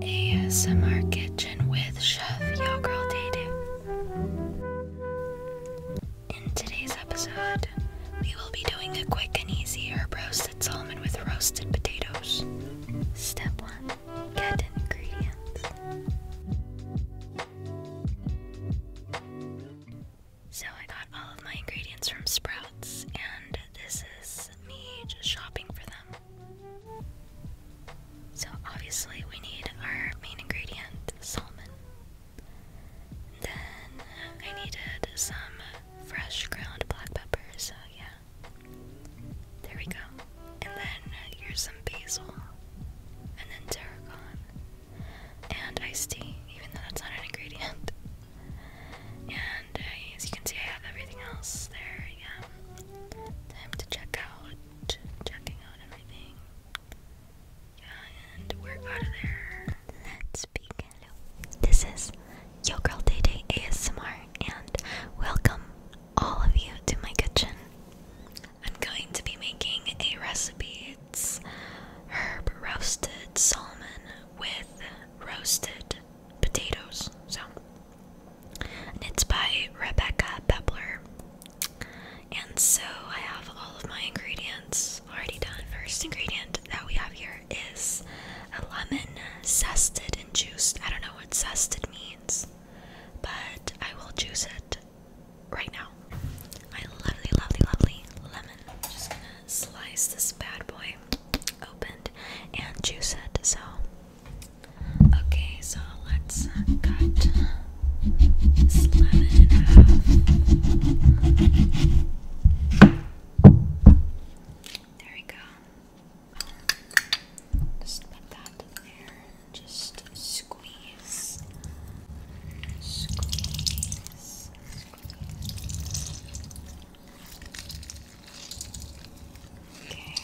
ASMR Kitchen with Chef Yo Girl Dayday. In today's episode, we will be doing a quick and easy herb roasted salmon with roasted potatoes. Step 1. Get ingredients. So I got all of my ingredients from Sprouts and this is me just shopping for them. So obviously we need our main ingredient, salmon. Then I needed some fresh ground black pepper, so yeah. There we go. And then here's some basil. And then tarragon. And iced tea, even though that's not an ingredient. And as you can see, I have everything else there. Yeah, time to check out, checking out everything. Yeah, and we're out of there. Let's begin. This is Yo Girl Day Day ASMR, and welcome all of you to my kitchen. I'm going to be making a recipe. It's herb roasted salmon with roasted potatoes. So, and it's by Rebecca Pepler. And so I have all of my ingredients already done. First ingredient that we have here is a lemon zested and juiced. I don't know what zested means, but I will juice it right now. My lovely, lovely, lovely lemon. just gonna slice this bad boy opened and juice it. So Okay, so let's cut this in half. There we go. Just put that there. Just squeeze. Squeeze. Squeeze. Okay.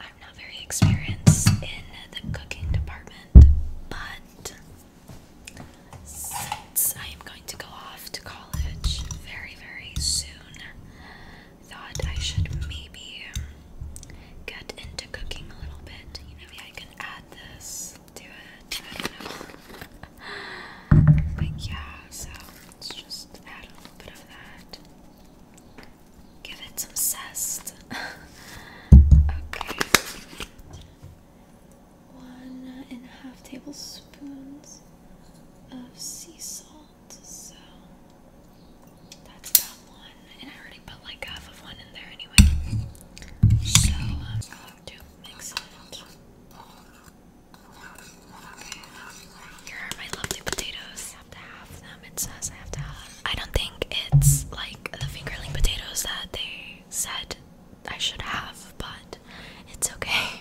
I'm not very experienced in the cooking department, but since I am going to go off to college very, very soon, thought I should maybe get into cooking a little bit. You maybe I can add this to it. but yeah, so let's just add a little bit of that. Give it some zest. okay. One and a half tablespoons of sea salt. So that's about one. And I already put like half of one in there anyway. So I'm um, going to mix it. Here are my lovely potatoes. I have to have them. It says I have to have I don't think it's like the fingerling potatoes that they said I should have, but it's okay.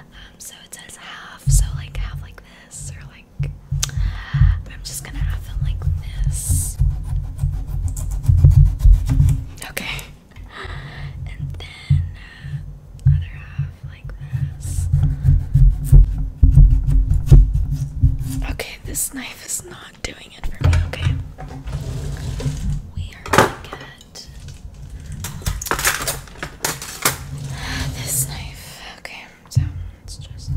Um, so it says half, so like half like this, or like I'm just gonna have them like this. Okay. And then uh, other half. Okay, this knife is not doing it for me, okay? We are gonna get this knife. Okay, so it's just.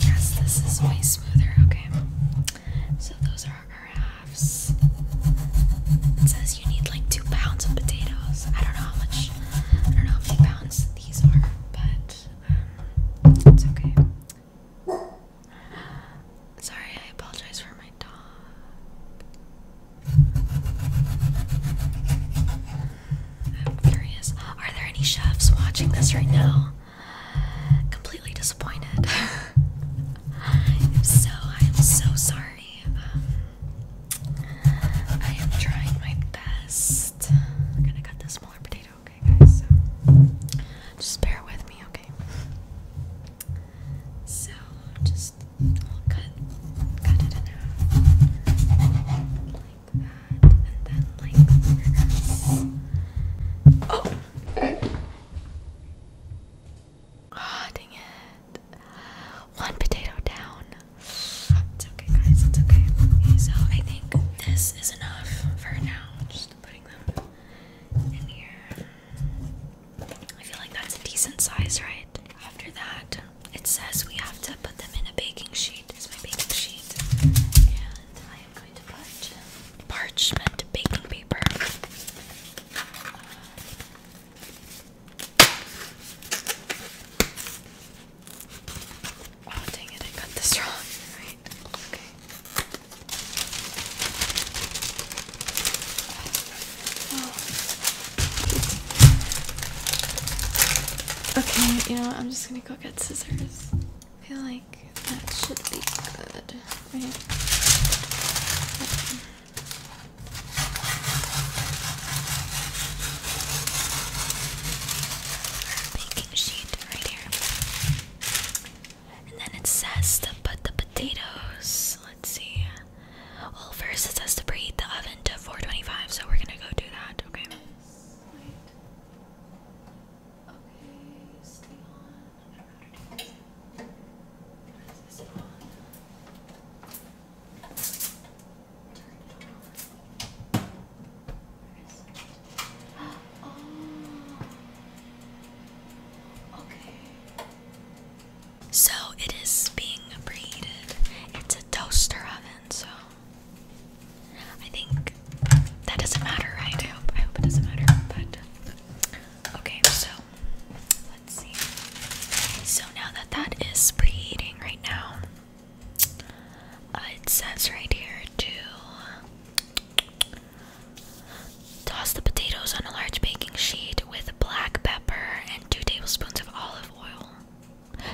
Yes, this is way smoother, okay? So those are our halves you need like two pounds of potatoes. I don't know how much, I don't know how many pounds these are, but um, it's okay. Sorry, I apologize for my dog. I'm curious. Are there any chefs watching this right now? Completely disappointed. if so, I am so sorry. I am trying my best. I'm gonna cut this smaller potato, okay, guys? just bear with me, okay? So just cut, cut it in half like that, and then like this. Oh. Ah, dang it. One potato down. It's okay, guys. It's okay. So I think this is enough for now. Just putting them in here. I feel like that's a decent size, right? After that, it says we have to put them in a baking sheet. It's my baking sheet, and I am going to put parchment baking paper. Oh, dang it, I got this wrong. Right? Okay. Oh. Okay, you know what? I'm just gonna go get scissors. I feel like that should be good, right? baking sheet right here. And then it says to put the potatoes. Let's see. Well, first it says to preheat the oven to 425, so we're gonna go do that. Okay. So it is being preheated. It's a toaster oven, so I think that doesn't matter, right? I hope it doesn't matter, but okay, so let's see. So now that that is preheating right now, uh, it says right here to toss the potatoes on a large baking sheet with black pepper and two tablespoons of olive oil.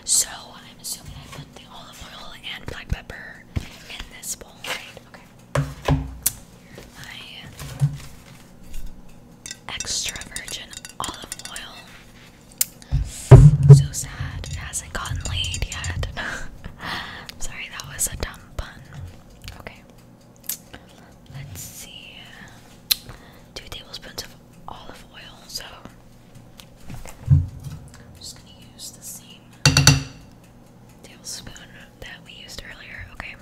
So I'm assuming I put the olive oil and black pepper in this bowl, right? Okay. My extra virgin olive oil. So sad it hasn't gotten laid yet. sorry, that was a dumb pun. Okay. Let's see. Two tablespoons of olive oil. So just gonna use the same tablespoon that we used earlier. Okay.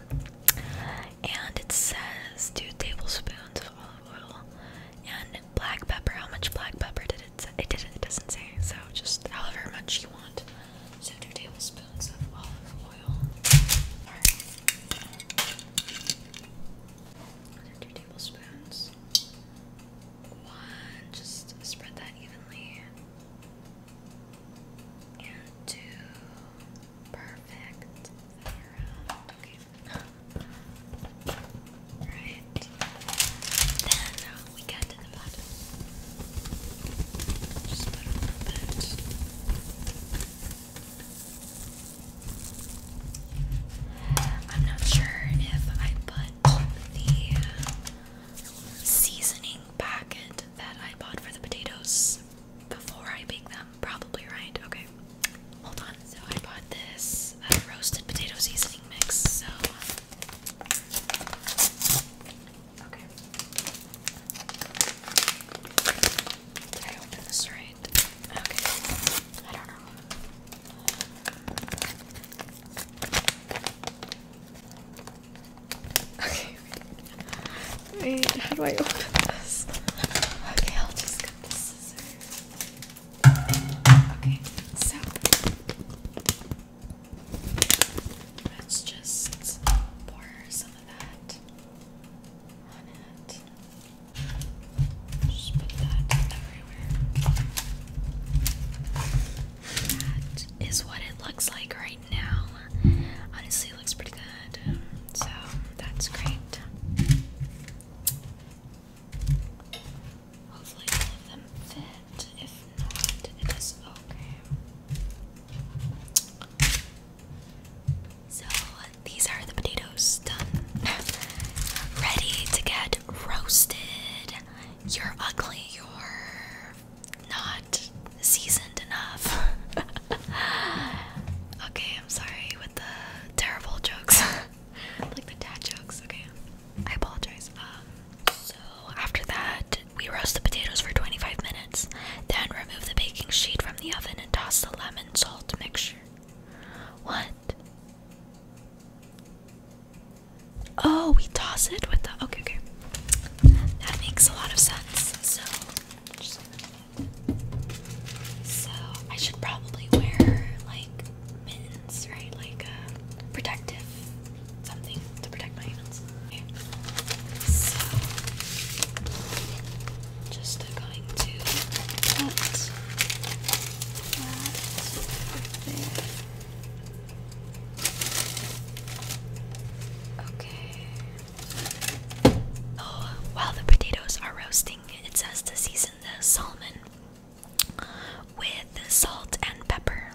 And it says two tablespoons of olive oil and black pepper. How much black pepper did it say? It doesn't say. So just however much you want. So two tablespoons of olive oil. two tablespoons. One. Just spread that evenly. And two. Perfect. Alright. Then uh, we got to the bottom. Just put a little bit. I'm not sure if I put the seasoning packet that I bought for the potatoes before I bake them probably right. Okay, hold on. So I bought this uh, roasted potato seasoning mix. So okay, did I open this right? Okay, I don't know. Okay. Wait, how do I open this? Okay, I'll just cut the scissors. Okay, so let's just pour some of that on it. Just put that everywhere. That is what it looks like right now. Honestly, it looks pretty good. So that's great. Hopefully all of them fit. If not, it is okay. So these are the potatoes done. Ready to get roasted. You're ugly, you're not seasoned enough. okay, I'm sorry with the terrible jokes. like the dad jokes. Okay, I apologize. Um, so after that, we roast the potatoes for 25 minutes. Then remove the baking sheet from the oven and toss the lemon salt mixture. What? Oh, we toss it with the. Okay, okay. That makes a lot of sense. So, so I should probably wear like mittens, right? Like a uh, protective something to protect my hands. So just going to put that there. Okay. Oh, while the potatoes are roasting, it says to season the salmon with salt and pepper.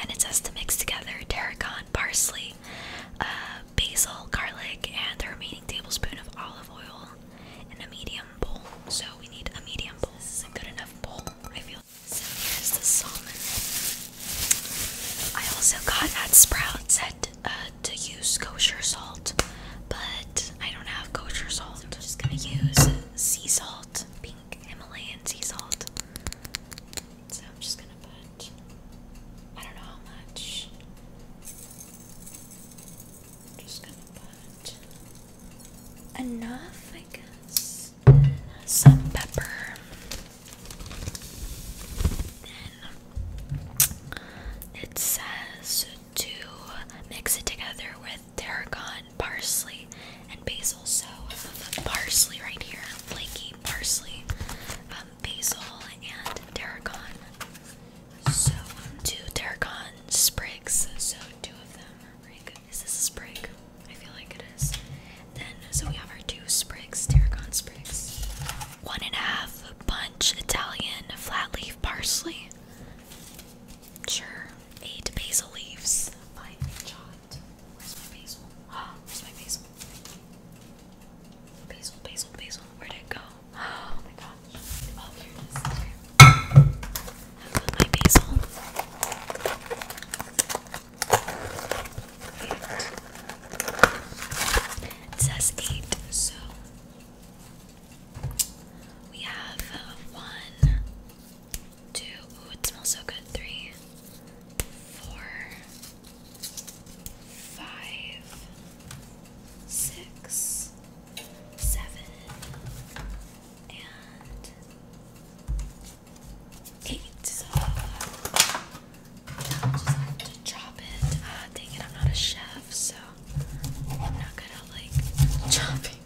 And it says to mix together tarragon, parsley, uh, basil, garlic, and the remaining tablespoon of olive oil in a medium bowl. So we need a medium bowl. This is a good enough bowl, I feel. So here's the salmon. I also got at Sprouts at, uh, to use kosher salt, but I don't have kosher salt. I'm just gonna use sea salt, pink Himalayan sea salt. So I'm just gonna put, I don't know how much. just gonna put enough, I guess. Some pepper. Then it says to mix it together with tarragon, parsley, and basil. So parsley right here, flaky parsley, um, basil, and tarragon. So two tarragon sprigs. So two of them are pretty good. Is this a sprig? I feel like it is. Then so we have our two sprigs, tarragon sprigs. One and a half bunch Italian flat leaf parsley. Sure. Eight basil leaves. Where's my basil? Where'd it go? Oh my gosh. Oh, here it is. It says eight, so we have uh, one, two, ooh, it smells so good. Three, four, five, six, seven, and eight. So uh, i just have to chop it. Uh, dang it, I'm not a chef, so I'm not gonna like chopping.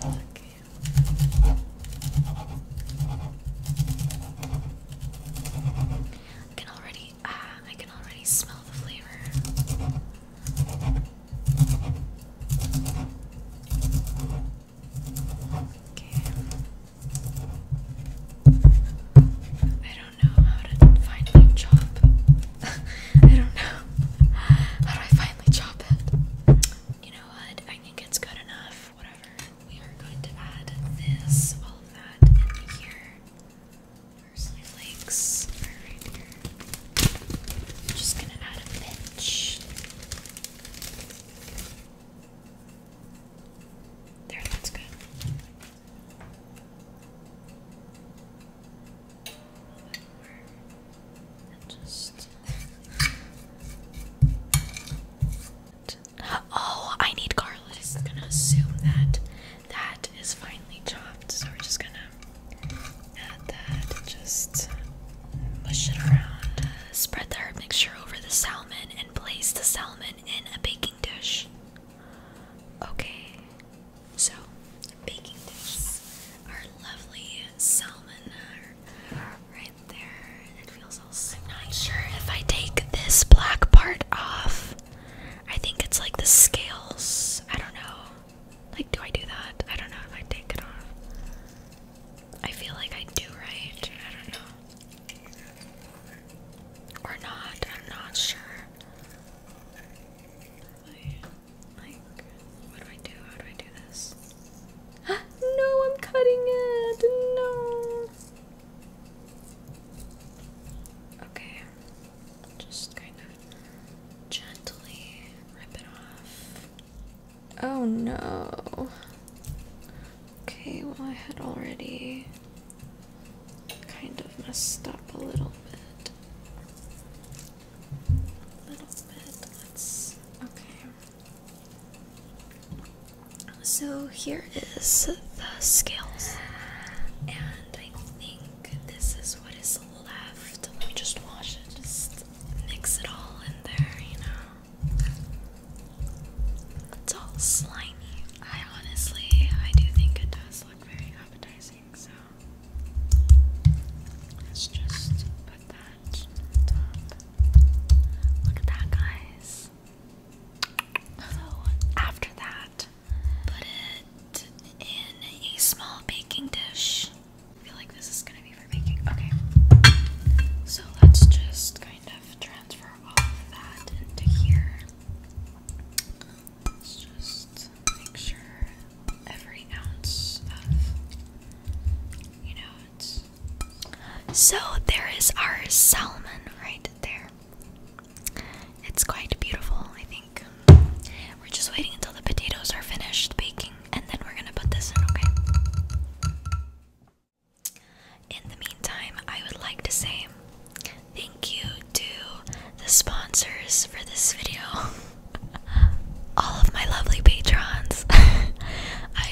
I can already uh, I can already smell the flavor. Okay don't know how to finally chop. I don't know. How I finally chop it? You know what? I think it's good enough. Whatever. We are going to add this, all of that in here. Parsley flakes are right here. just gonna add a pinch. There, that's good. Oh, I need garlic. I'm gonna assume that that is finely chopped, so we're just gonna add that just mush it around. Spread the herb mixture over the salmon and place the salmon in a baking dish. Okay, so baking dips are lovely salmon right there. I'm not sure if I take this black part off. I think it's like the scales. I don't know. Like, do I do that? I don't know if I take it off. I feel like I do, right? I don't know. Or not, I'm not sure. Like, what do I do? How do I do this? no, I'm cutting it! No! Okay, just kind of gently rip it off. Oh no. Okay, well, I had already kind of messed up a little bit. A little bit. let Okay. So here is the scales. And I think this is what is left. Let me just wash it. Just mix it all in there, you know. It's all slimy. I honestly, I do think it does look very appetizing, so let's just put that Look at that, guys. So, after that, put it in a small baking dish. I feel like this is gonna be for baking. Okay. So let's just kind of transfer all of that into here. So there is our salmon right there. It's quite beautiful, I think. We're just waiting until the potatoes are finished baking and then we're gonna put this in, okay? In the meantime, I would like to say Thank you to the sponsors for this video. All of my lovely patrons. I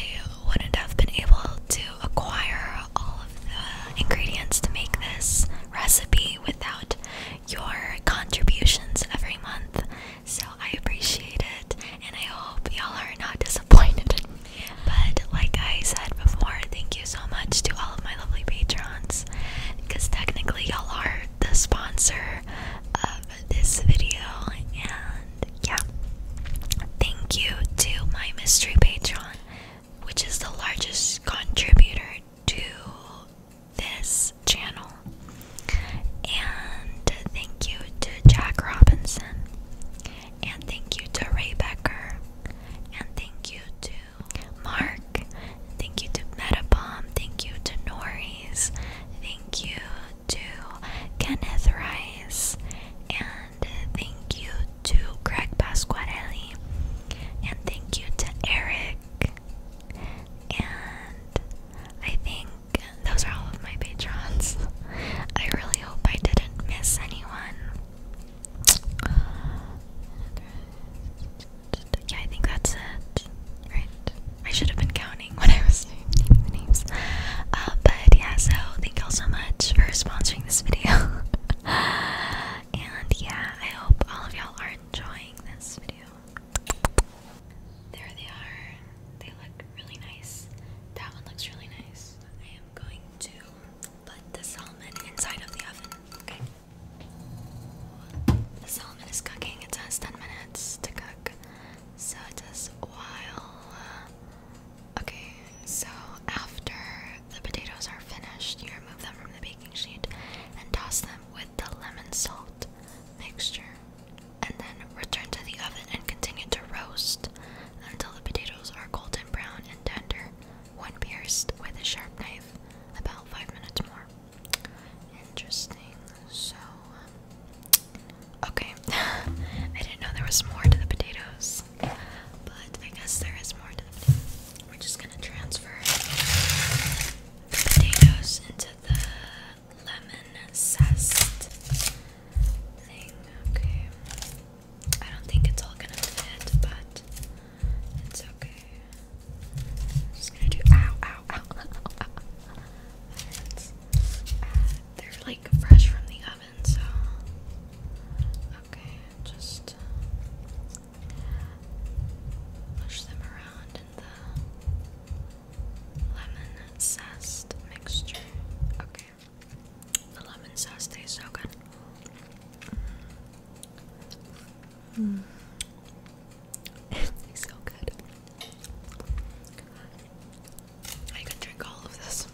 wouldn't have been able to acquire all of the ingredients to make this recipe without your contributions every month. So I appreciate it and I hope y'all are not disappointed. But like I said before, thank you thank you so much to all of my lovely patrons because technically y'all are the sponsor of this video and yeah thank you to my mystery patron which is the largest contributor to this channel and thank you to Jack Robinson and thank you to Ray Becker and thank you to Mark. Thank you to Metabomb. Thank you to Norris. Thank you to Kenneth Rice. And thank you to Greg Pasquarelli. And thank you to Eric. And I think those are all of my patrons. I really hope I didn't miss anyone. Yeah, I think that's it. Right. I should have been counting when I was naming the names. Uh, but yeah, so thank y'all so much for sponsoring this video. and yeah, I hope all of y'all are enjoying this video. There they are. They look really nice. That one looks really nice. I am going to put the salmon inside of the oven. Okay. The salmon is cooking. It says 10 minutes to cook. So it says while. Uh, okay, so after the potatoes are finished, you remove them from the baking sheet and toss them with the lemon salt mixture. And then return to the oven and continue to roast until the potatoes are golden brown and tender one pierced with a sharp knife about five minutes more. Interesting. So, um, okay. I didn't know there was more to the potatoes, but I guess there is more to the We're just gonna transfer potatoes into the lemon zest thing. Okay. I don't think it's all gonna fit, but it's okay. just gonna do ow, ow, ow, uh, they're like fresh from the oven, so okay, just uh, push them around in the lemon zest mixture. Okay, the lemon sauce tastes so good so good. I could drink all of this.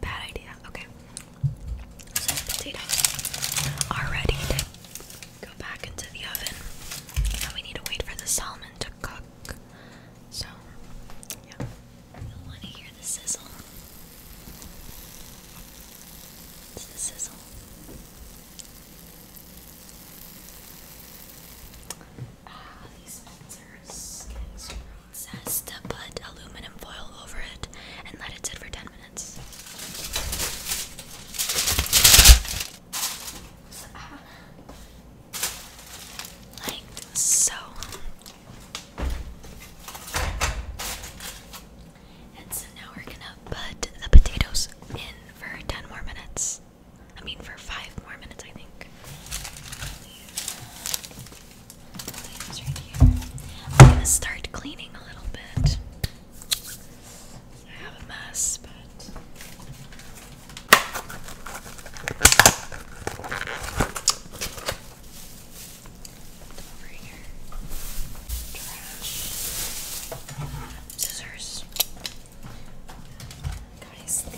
Bad idea. Okay. So potatoes are ready go back into the oven. Now we need to wait for the salmon to cook. So, yeah. I want to hear the sizzle. It's the sizzle. Ah, these pizzas can processed. Put aluminum foil over it and let it sit for 10 minutes. Ah, like so. And so now we're gonna put the potatoes in for 10 more minutes. I mean, for 5 more minutes, I think. I'm gonna start cleaning a little bit. I have a mess, but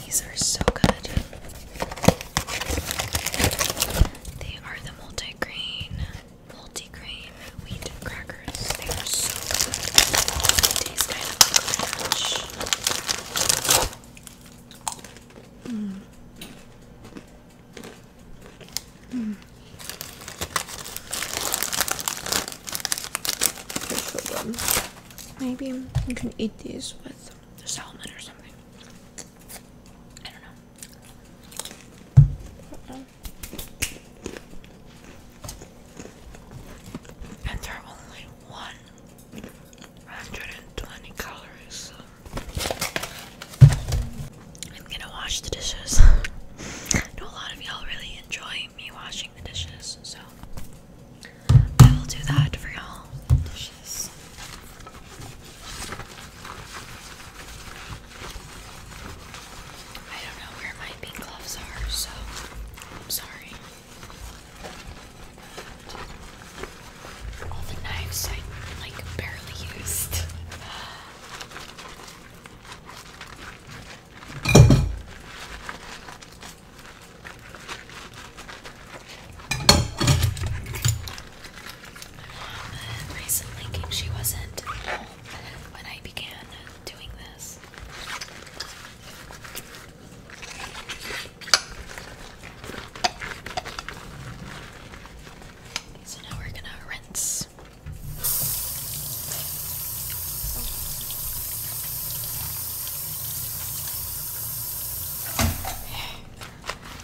these are so good. They are the multi-grain, multi-grain wheat crackers. They are so good. They kind of like crunch. Maybe you can eat these with the salmon or something. I don't know. And they only one 120 calories. I'm gonna wash the dishes. know a lot of y'all really enjoy me washing the dishes, so I will do that for y'all. Dishes. I don't know where my pink gloves are, so I'm sorry. All the knives I like barely used. recently she wasn't home when I began doing this. So now we're gonna rinse.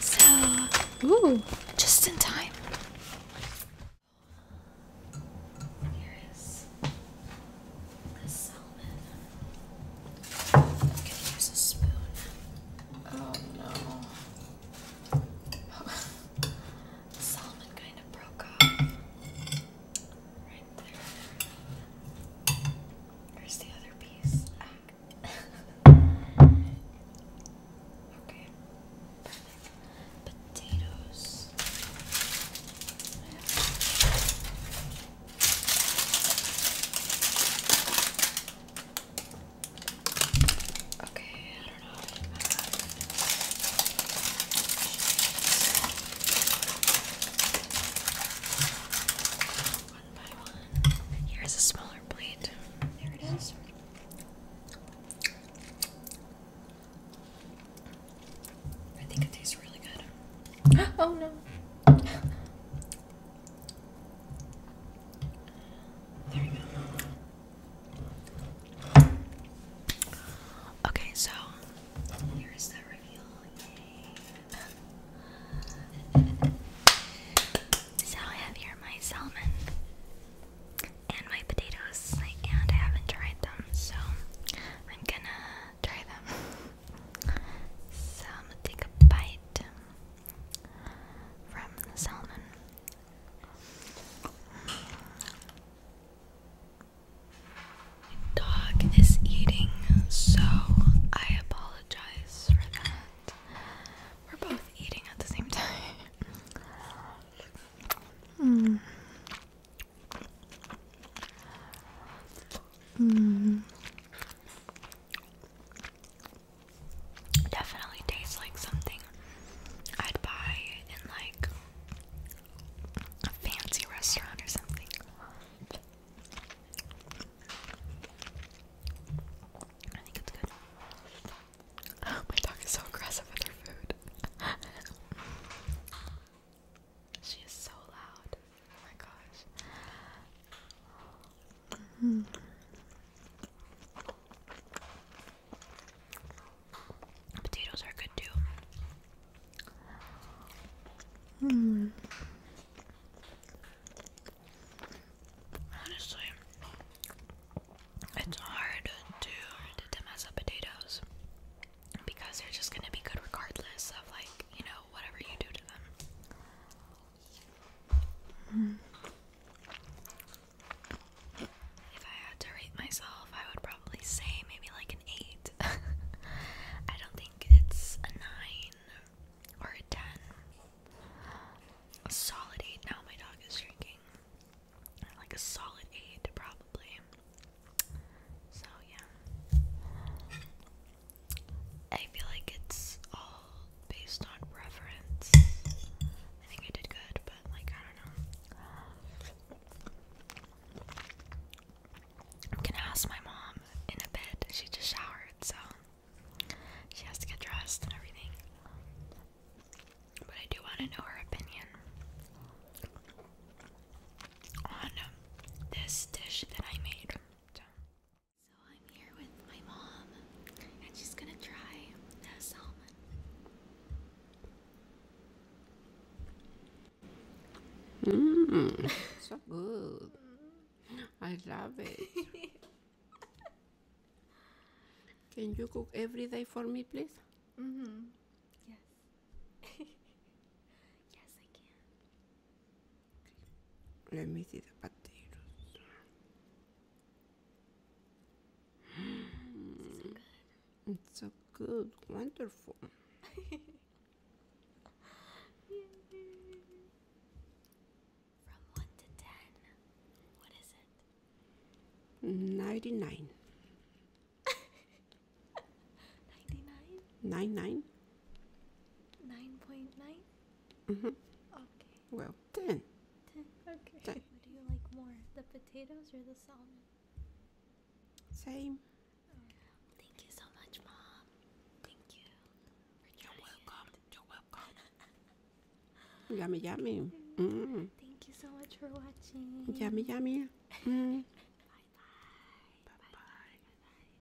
So, ooh, just in time the salmon. I'm gonna use a spoon. Oh no. salmon kind of broke off. Right there. Where's the other piece? Ah. okay. Potatoes. Okay, I don't know. One by one. Here's a smaller blade. There it is. I think it tastes really good. oh no. There we go. Okay, so here is the reveal. so I have here my salmon and my potatoes, and I haven't tried them, so I'm gonna try them. So I'm gonna take a bite from the salmon. My dog is eating, so I apologize for that. We're both eating at the same time. mm. Mm. Definitely tastes like something I'd buy in like a fancy restaurant or something. I think it's good. my dog is so aggressive with her food. she is so loud my gosh. -hmm. Potatoes are good too. Honestly, it's hard to to mess up potatoes because they're just gonna be good regardless of like you know if I had to rate myself, I would probably say maybe like an 8. I don't think it's a 9 or a 10. A solid 8. Now my dog is drinking. Like a solid 8, probably. So, yeah. I feel like it's all based on reference. I think I did good, but like, I don't know. I'm gonna ask my mom in a bit. She just showered, so she has to get dressed and everything. But I do want to know her opinion on this dish that I made. So I'm here with my mom, and she's gonna try the salmon. Mmm, so good. I love it. Can you cook every day for me, please? Mm hmm. Yes. yes, I can. Let me see the potatoes. It's so good. Wonderful. From 99. 99? 99? Nine point nine. Mhm. Okay. Well, ten. Ten. Okay. Ten. What do you like more, the potatoes or the salmon? Same. Oh. Thank you so much, mom. Thank you. You're welcome. It. You're welcome. yummy, yummy. Mm. -hmm. Thank you so much for watching. Yummy, yummy. Mm. Mm-hmm. bye, -bye. bye bye. Bye bye.